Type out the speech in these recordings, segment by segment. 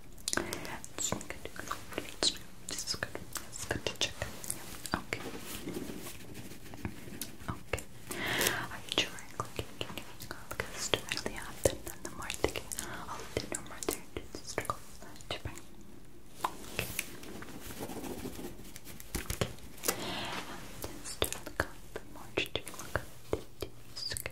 It's good. It's good. It's good. It's good to check. Yeah. Okay. Okay. Are you trying clicking? Can you click as directly after then the more thinking? I'll do no more there to struggle to bring. Okay. Okay. And then still look up. More to look up. It's good.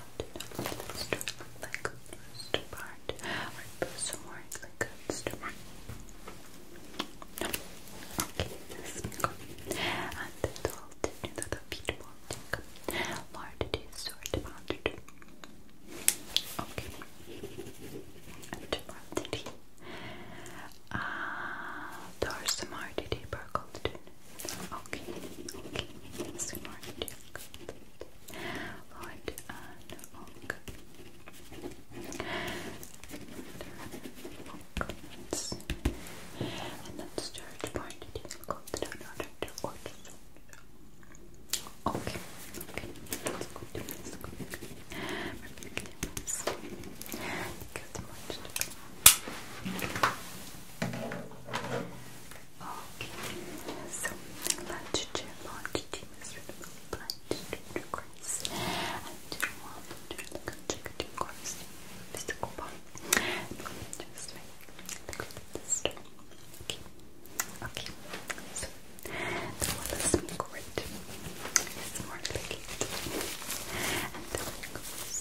let like the first part. Or put some more like a first part. No. Okay, let's go. And the doll did the feet won't Lord, sort of haunted. Okay. And what did he? Ah, uh, Dorsum did he burgled? Okay, okay, it's more difficult. and oak. And that's the third part difficult that another order. Okay, okay, that's good, that's good. Perfect, yes. Good much to come. Okay, so let's check on the team's to Chris. And you want to look and check the course, Mr. Cooper. Just like this time. Okay, okay. So the one is great. It's more like it. And the one goes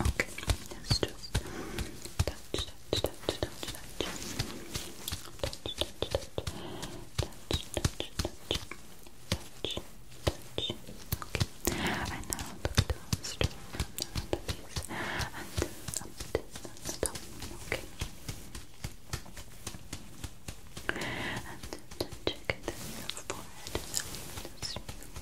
Okay, let touch, touch, touch, touch, touch, touch, touch, touch, touch, touch, touch, touch. Okay, and now go down straight from the other piece and up, down, down, okay. And then check it in your forehead.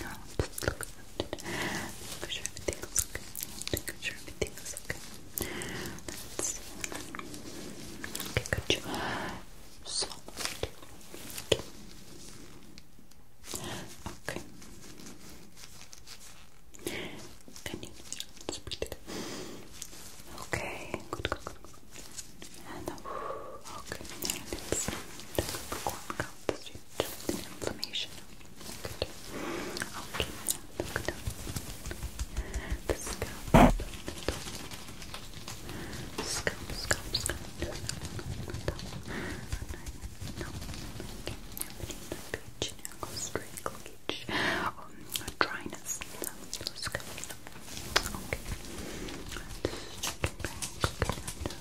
No, just look at it. Make sure everything's sure everything's okay. let Okay, got you. So, okay. okay. Okay, good, good, good. And uh, okay, now let's take a and inflammation. Good. Okay, now look down. The scalp, the scalp, scalp, scalp. Just down. No, okay. Now we need a peach, now go straight, peach. Um, dryness. So, let's go. Okay. Let's check it back. Okay,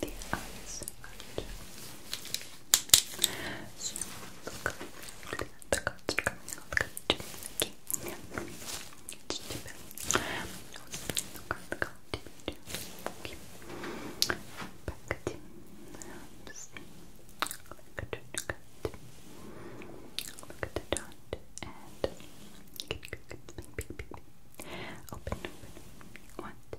the eyes right. So look the cards are coming out good. Okay. Yeah. Stupid. Look at the card. Okay. Back to just look at the card. Look at the dot and good, good, good. Bing, bing, bing. Open, open. One, two,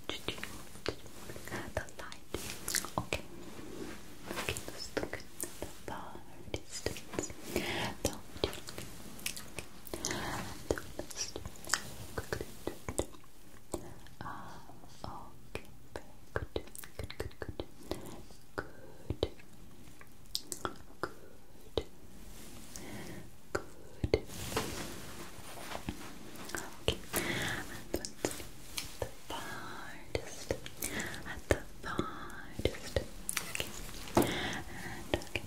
The light. Okay. Okay, let the far distance. Don't you good. Good, good, good. Good. Good. Good. Okay farthest, at the farthest. Okay. And okay,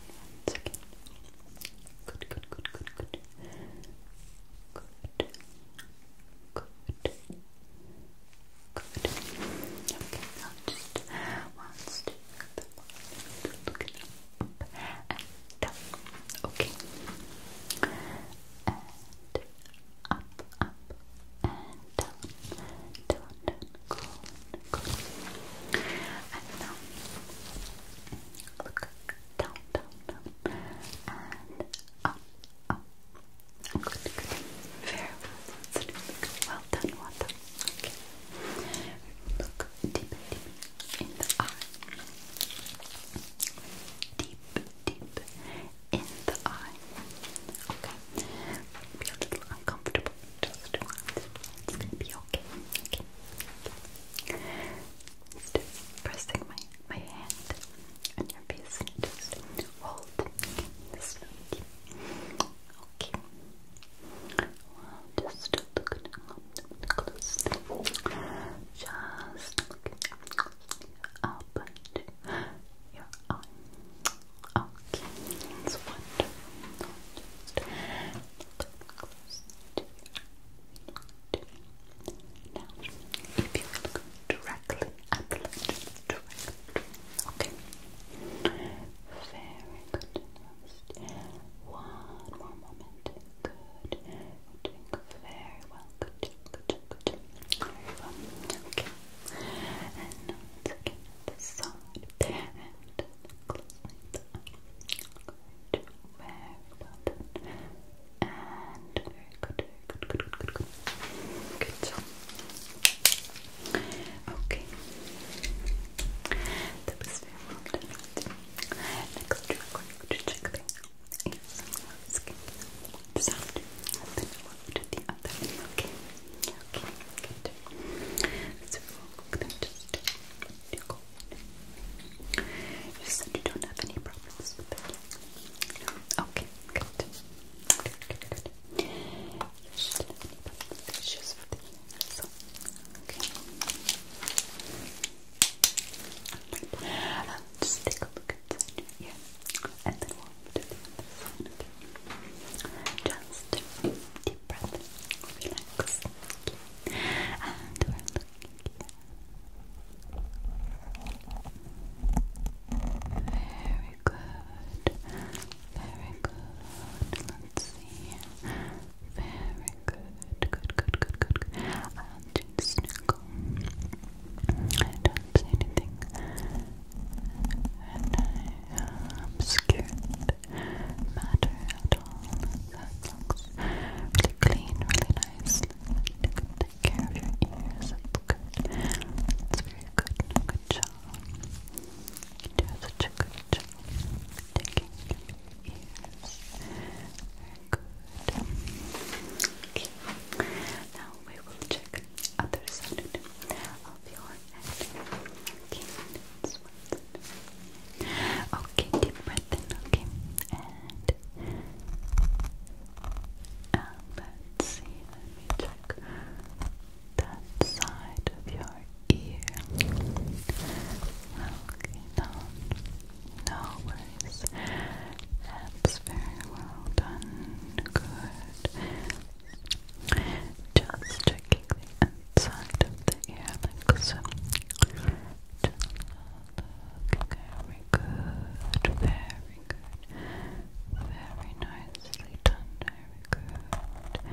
Good, good, good, good, good. Good. Good. Good. Okay, now just one step. Look it up and down. Uh, okay up, up, and down, down, down, go, go. And now, look, down, down, down, and up, up. Good, good. Very well. Let's do it. Well done, well done. Okay. Look deep, deep in the eye. Deep deep in the eye. Okay, be a little uncomfortable. Just once. It's gonna be okay. Okay. Just pressing my my hand on your face. Just hold. Okay. This deep. Okay. Well, just look now. Close. Just open your eye. Okay, that's Now, if you look directly at the lens, Okay. Very good. one more moment. Good. You're doing very well. Good good good Very well. Okay. And now let's And close Good. Very well And very good, good, good, good, good, good. Good job. Okay. That was very well done. Next, we're going check the I have some skincare on one side and then one to the other. Okay, okay, good. So we're going to just do cold. You said you don't have any problems with it. No? Okay, good. Good, good, good. You shouldn't have any problems with issues with the ear. So, okay. Right. Just take a look at your and then Just deep breath, relax, Very good, very good. Let's see. Very good, good, good, good, good. I'll just go. Don't say anything. And I obscured matter at all. That looks really clean, really nice. You take care of your ears. That's good. That's very good. Good job. You do such a good job taking care of your ears. Okay. Now we will check other side of your head. Okay. Okay. Deep breath in. Okay. And let's see. Let me check that side of your ear. Okay. Down. No worries. That's very well done. Good. Just checking the inside of the ear like Just look. Very good. Very good. Very nicely done. Very good.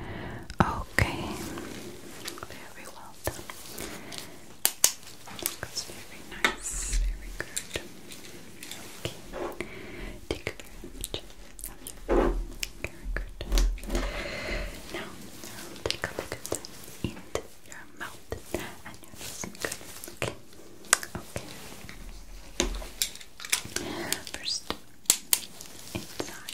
Okay. Very well done. That's very nice, very good. Okay. Take a very good. Now, take a look at your mouth and your nose. Good. Okay. Okay. First, inside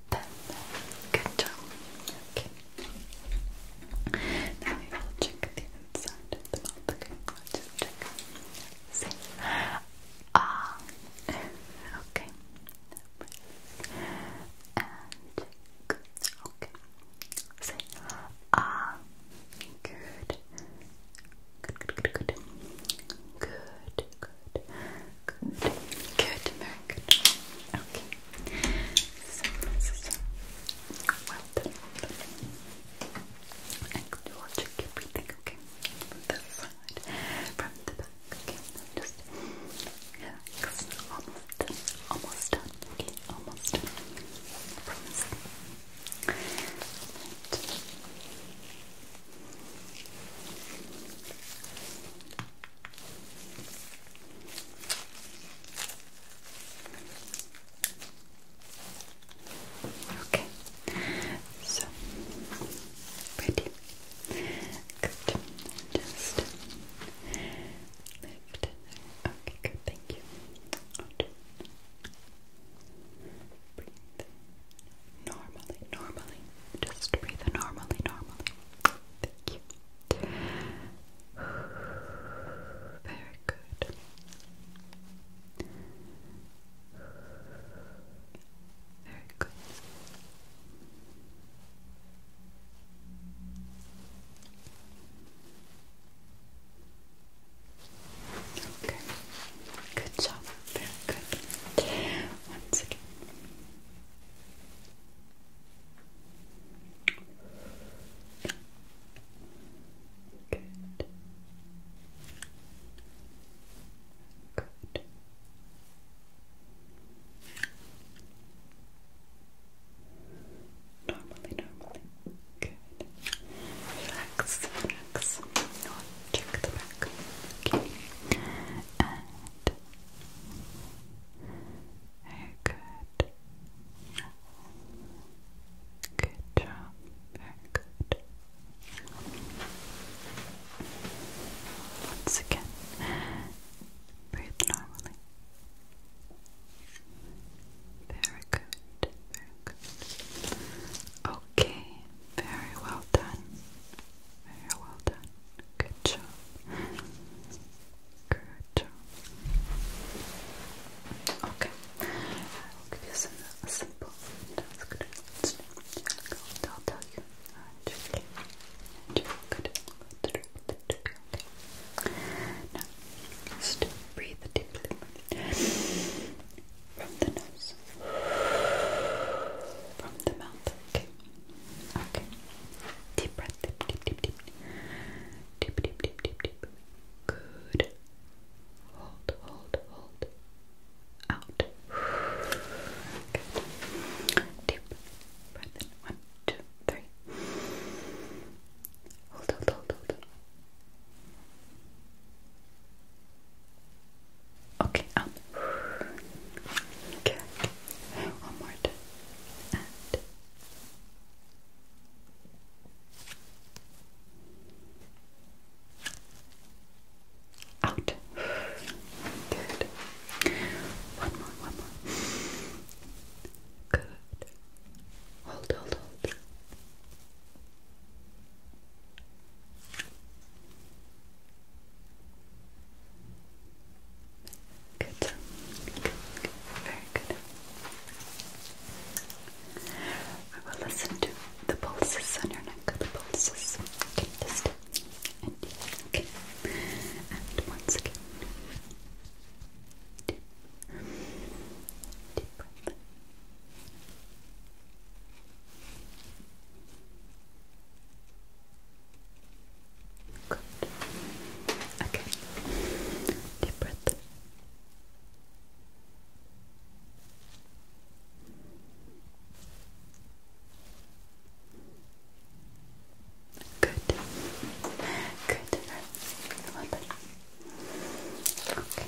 Good job. Okay. Now we will check the inside of the mouth. Okay, just check. See? Ah. Okay. And check. Okay. See? Ah. Good. Good, good, good, good. Good, good, good, good. Okay. So this is well done. And we'll check okay? From this side, from the back, okay? just relax. Almost done. Almost done. Okay, almost done. promise. Okay, so ready. Good. Just lift. Okay, good. Thank you. Breathe normally, normally. Just breathe normally, normally. Thank you. Very good. Very good. Okay. Good job. Very good. Once again. Good. Good. Normally, normally. Good. Relax, relax. I'll check the back. Okay. And very good. Good job. Very good. Once again, breathe normally. Very good. Very good. Okay. Very well done. Very well done. Good job. Good job. Okay. I will give you some simple task. I'll tell you. Okay. Good. Okay. Now, just breathe deeply from the nose, from the mouth. Okay. Okay. Deep breath. Deep, deep, deep, deep. Deep, deep, deep, deep, deep. Good. Hold, hold, hold. Out. Good. Deep breath in. One, two, three. hold, hold, hold. Okay, one more time. out. Good. One more, one more. Good. Hold, hold, hold. Good. Very good. We will listen to the pulses on your neck. The pulses. Okay, just And once again. Deep, deep breath. Good. Okay. Deep breath. Good. Good. Well done. Okay.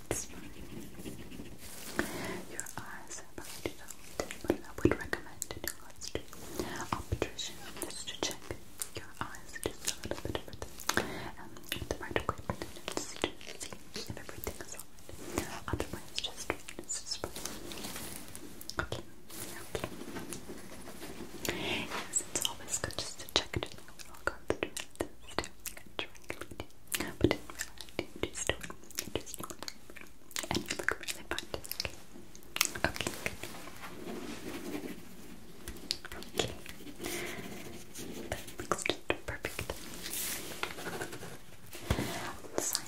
It's fine. Your eyes are probably developed, but I would recommend doing let's do obtrusion just to check your eyes just a little bit further. Um, the right equipment and everything is Otherwise, just it's just fine. Okay, okay. Yes, it's always good just to check it in. I'll go through this Drink but in reality, you just just And you look really fun. Okay. Okay, good. Okay. looks just perfect. Sign